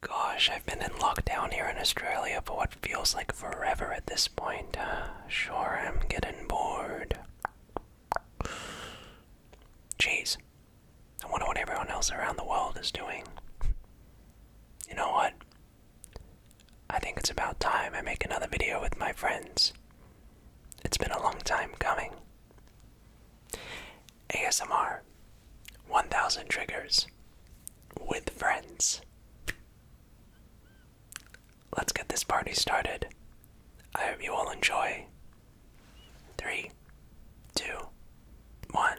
Gosh, I've been in lockdown here in Australia for what feels like forever at this point. Uh, sure, I'm getting bored. Jeez, I wonder what everyone else around the world is doing. You know what? I think it's about time I make another video with my friends. It's been a long time coming. ASMR 1000 triggers with friends. Let's get this party started. I hope you all enjoy. Three, two, one.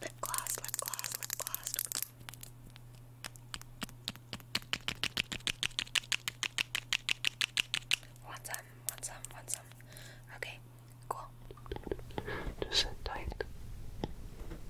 Lip gloss, lip gloss, lip gloss. Want some, want some, want some. Okay, cool. Just sit tight.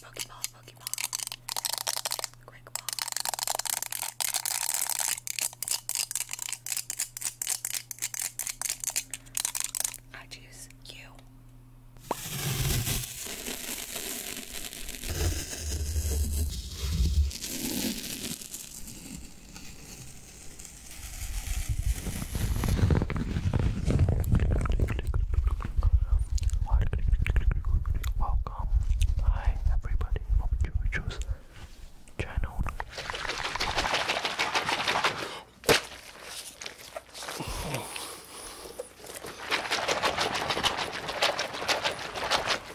Pokeball, Pokeball. Quick ball. I choose you. Welcome. Hi everybody from Jojo's channel.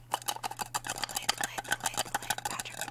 Blaine, Blaine, Blaine, Blaine, Patrick Blaine.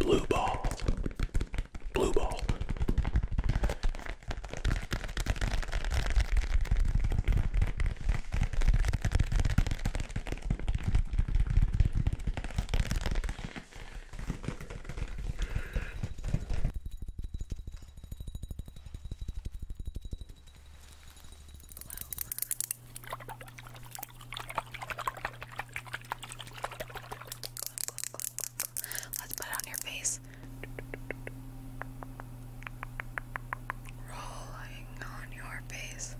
Blue ball. Blue ball. Let's put it on your face. Rolling working on your face.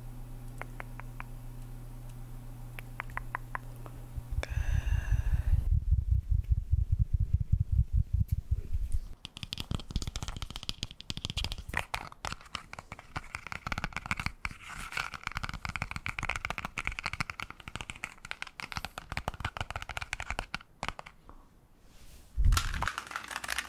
Good.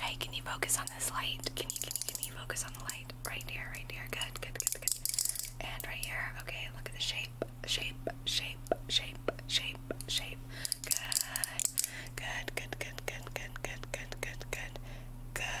Hey, can you focus on this light? Can you, can you, can you focus on the light? Right here, right here. Good, good, good, good. And right here. Okay, look at the shape shape, shape, shape, shape, shape. Good, good, good, good, good, good, good, good, good, good. Good.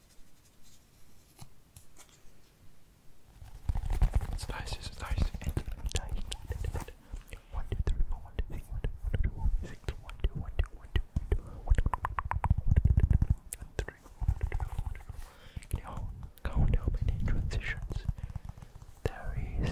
Slice, slice, and dice. One, two, three, four, one, two, three, one, two, one, two, one, six, one, two, one, two, one, two, one, two, one, two, one, two, three, one, two, one, two. Can you count how many transitions there is?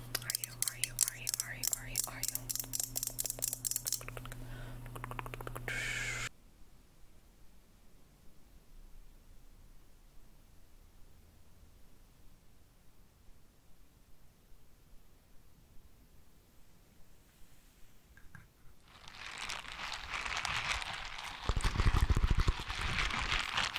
Are you, are you, are you, are you, are you, are you?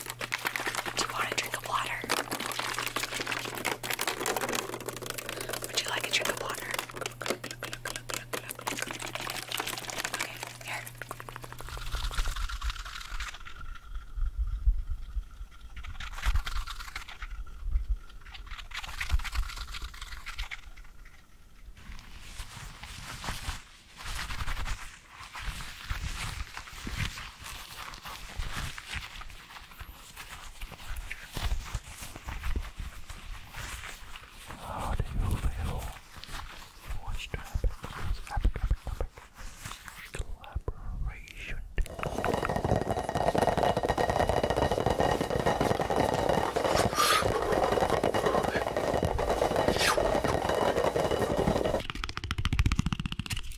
Do you want a drink of water? Would you like a drink of water? Okay, here. How do you feel? Watch the epic, epic, epic, epic collaboration.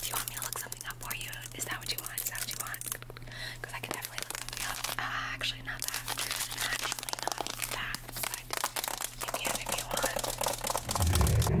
Do you want me to look something up for you? Is that what you want? Is that what you want? Because I can definitely look something up. Uh, actually, not that. Actually, not that. But you can you want.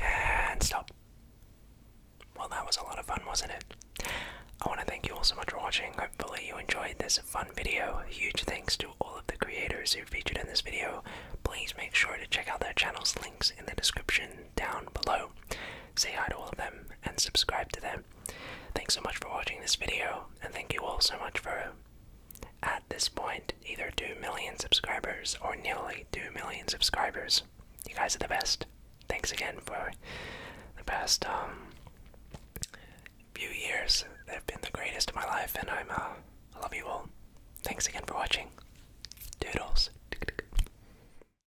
And stop. Well, that was a lot of fun, wasn't it? I want to thank you all so much for watching. Hopefully, you enjoyed this fun video. Huge thanks to all of the creators who featured in this video. Please make sure to check out their channels, links in the description down below. Say hi to all of them and subscribe to them. Thanks so much for watching this video, and thank you all so much for, at this point, either 2 million subscribers or nearly 2 million subscribers. You guys are the best. Thanks again for the past um, few years. They've been the greatest of my life, and I'm, uh, I love you all. Thanks again for watching. Doodles.